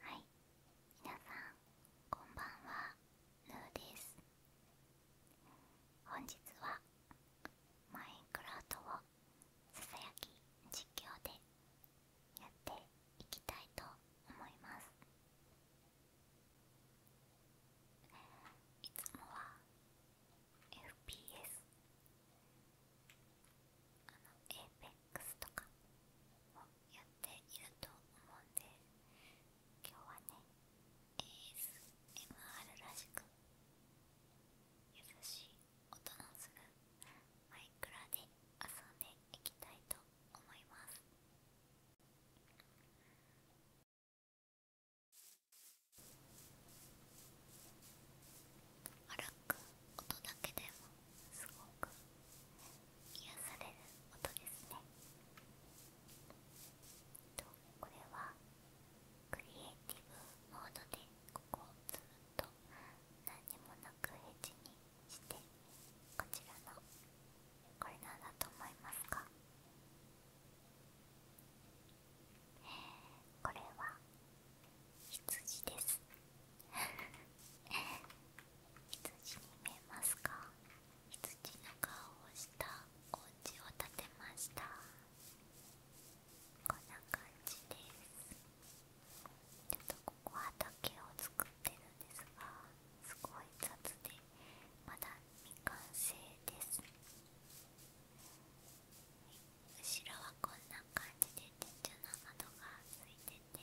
はい皆さんこんばんはヌーです本日はマインクラフトをささやき実況でやっていきたいと思いますいつもは FPS あの APEX とかやっていると思うんで今日はね ASMR らしく優しい音のするマイクラで遊んでいきたいと思います歩く音だけでもすごく癒される音ですねこれはクリエイティブモードでここをずっと何もなくエッジにしてこちらのこれなんだと思いますかこれは羊です羊に見えますか羊の顔をしたお家を立てましたこんな感じですちょっとここ畑を作ってるんですがすごい雑でまだ未完成です後ろはこんな感じで天井の窓がついてて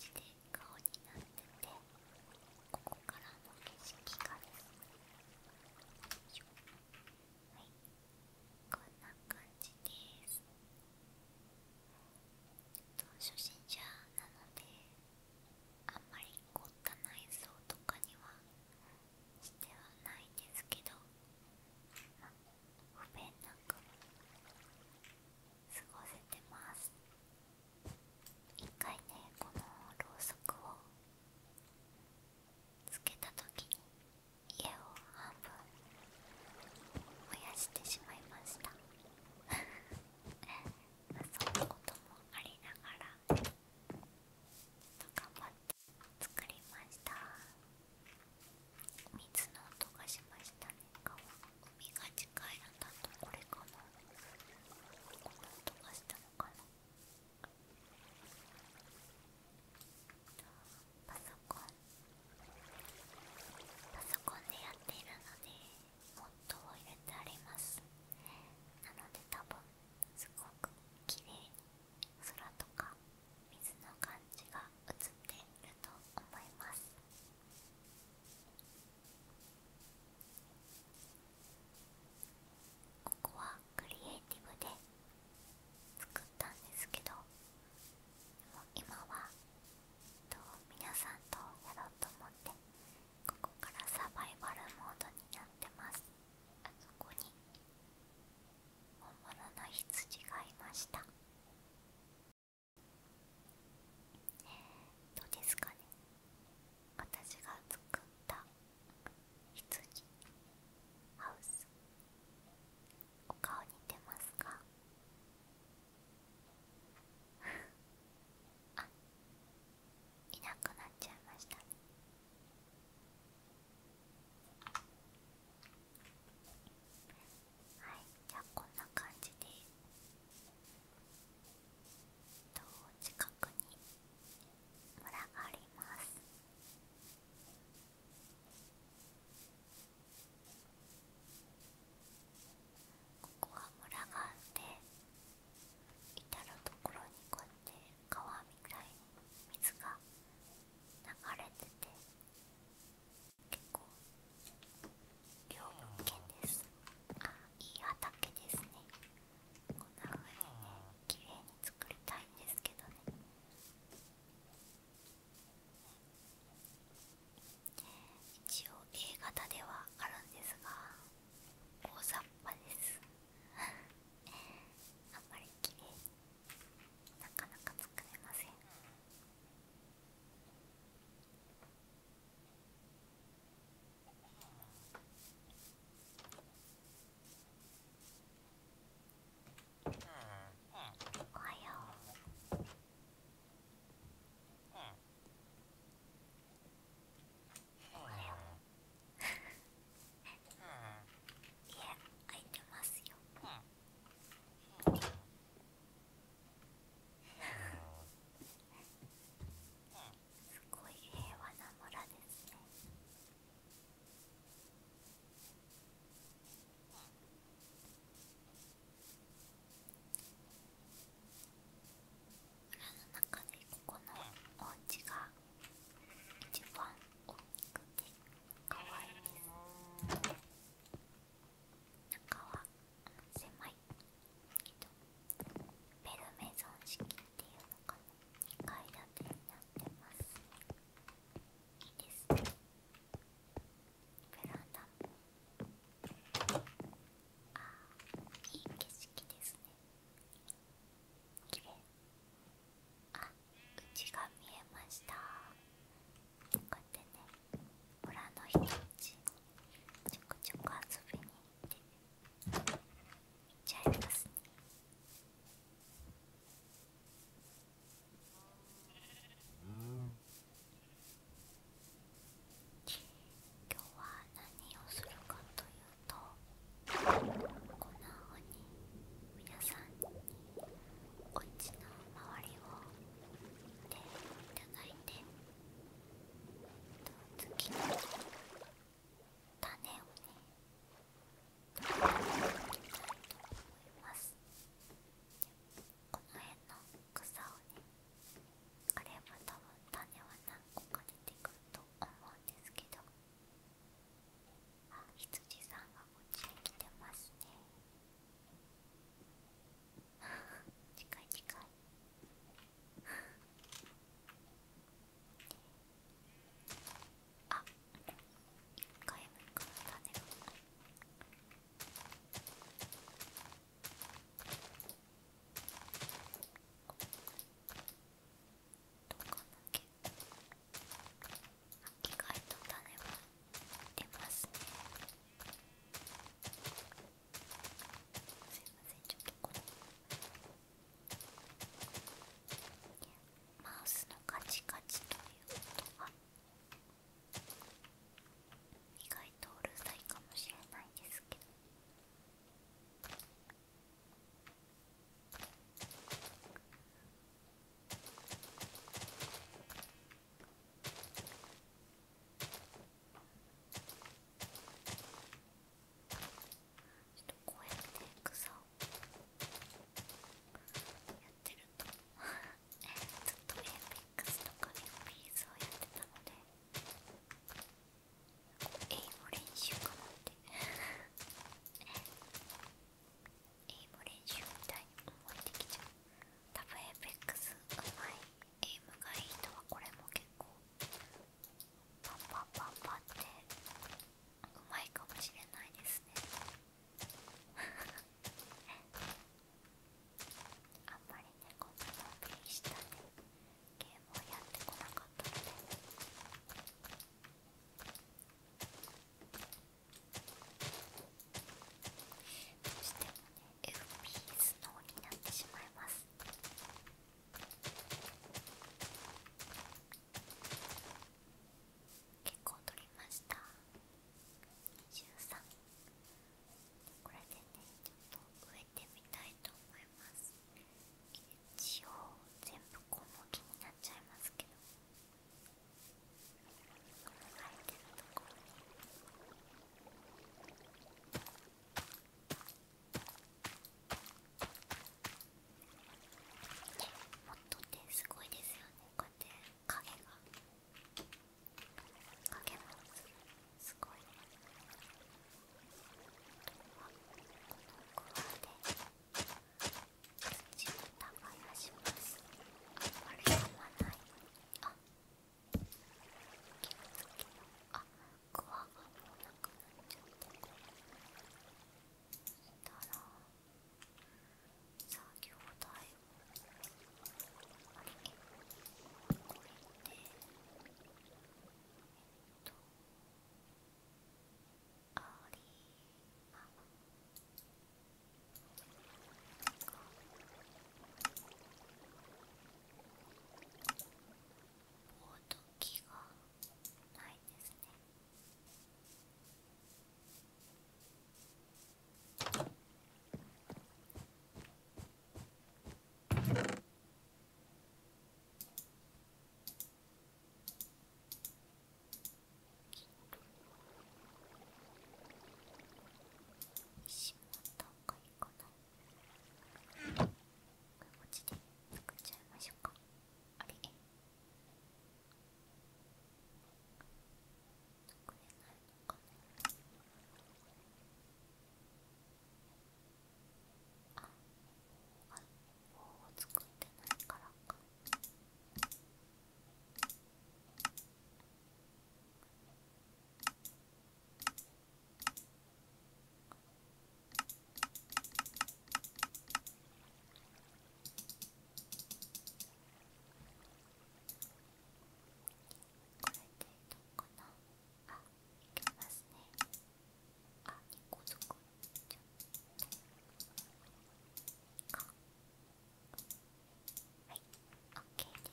じで顔になっててここからの景色がはいこんな感じですと初心者なのであんまり凝った内装とかにはしてはないんですけど、まあ、不便なく。過ごせてます一回ねこのろうそくをつけた時に家を半分燃やしてしまいました そんなこともありながらちょっと頑張って作りました水の音がしましたね顔海が近いのだとこれかなこの音がしたのかなパソコンパソコンでやっているので音を入れてありますなので多分すごく綺麗に空とか水の感じが映っていると思います。ここはクリエイティブで作ったんですけど今はと皆さんとやろうと思ってここからサバイバルモードになってますあそこに本物の羊がいましたどうですかね私が作った羊ハウスお顔似てますか あいなくなっちゃいましたねはいじゃあこんな感じでと近くに村がありますここは村があって至る所にこうやって川みたいに水が流れてて結構両物ですあいい畑ですねこんなふうにね綺麗に作りたいんですけどね一応 A 型ではあるんですが大雑把ですあんまり綺麗になかなか作れませんおはようおはよう家開いてすごい平和な村ですね村の中でここのお家が一番大きくて可愛いです中は狭いベルメゾン式っていうのかな2階建てになってますいいですねベランダもあーいい景色ですね綺麗あうちが見えましたこうやってね村の人たちちょくちょく遊びに行って行っちゃいますね今日は何をするかというとこんなふうに皆さんにこっちの周りを見ていただいて。次の種をね取り上げていきたいと思いますこの辺の草をねあれも多分種は何個か出てくると思うんですけどあ羊さんがこっちに来てますね近い近いあ一回目からだねどうかなき意外と種は出ますねすいませんちょっとこれマウスのカチカチという音が意外とうるさいかもしれないんですけどっとこうやって草をやってるとず っとエーペックスとかでピーズをやってたので英語練習かなって英語練習みたいに思ってきちゃう多分エーペックスういゲームがいい人はこれも結構パンパンパンパンってうまいかもしれないですねあんまりねこんなのプレイしたねゲームをやってこなかったのでそしてもねスノーになってしまいます結構取りましたこれでねちょっと植えてみたいと思います一応全部小麦になっちゃいますけどこの入ってるところに。モもっと手すごいですよねこうやって影が影もすごいあとはこの具合で土の玉やしますああれはまないあクワがもうなくなっちゃったねしたら作業台をあれこ置いてえっとありまあおうときがないですね。こっちで作っちゃいましょうかあれ作れないのかなああ棒を作ってないからかここなあ、いきますねあ、2個作っちゃってかはい、OK です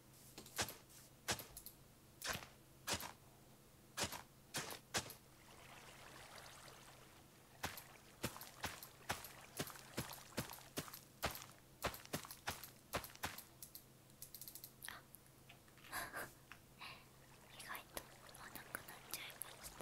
意外と合わなくなっちゃいま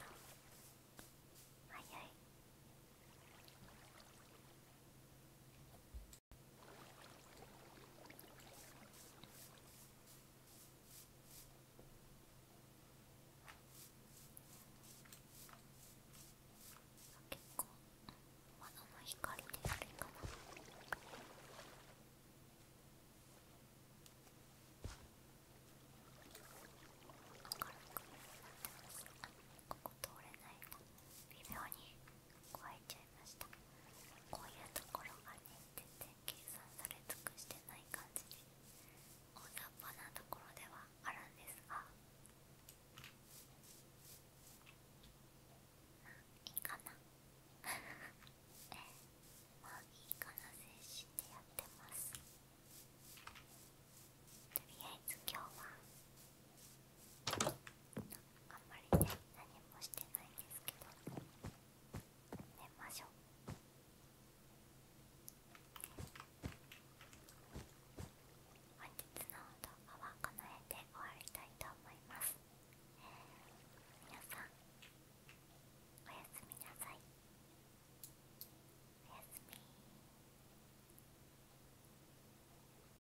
結構窓の光であれかな明るくなっますここ通れないな微妙に壊れちゃいましたこういうところがね全然計算され尽くしてない感じで大雑把なところではあるんですがまあいいかな え、まあいいかな精神でやってますとりあえず今日は。あんまりね何もしてないんですけど寝ましょう本日の動画はこの辺で終わりたいと思います、皆さんおやすみなさいおやすみ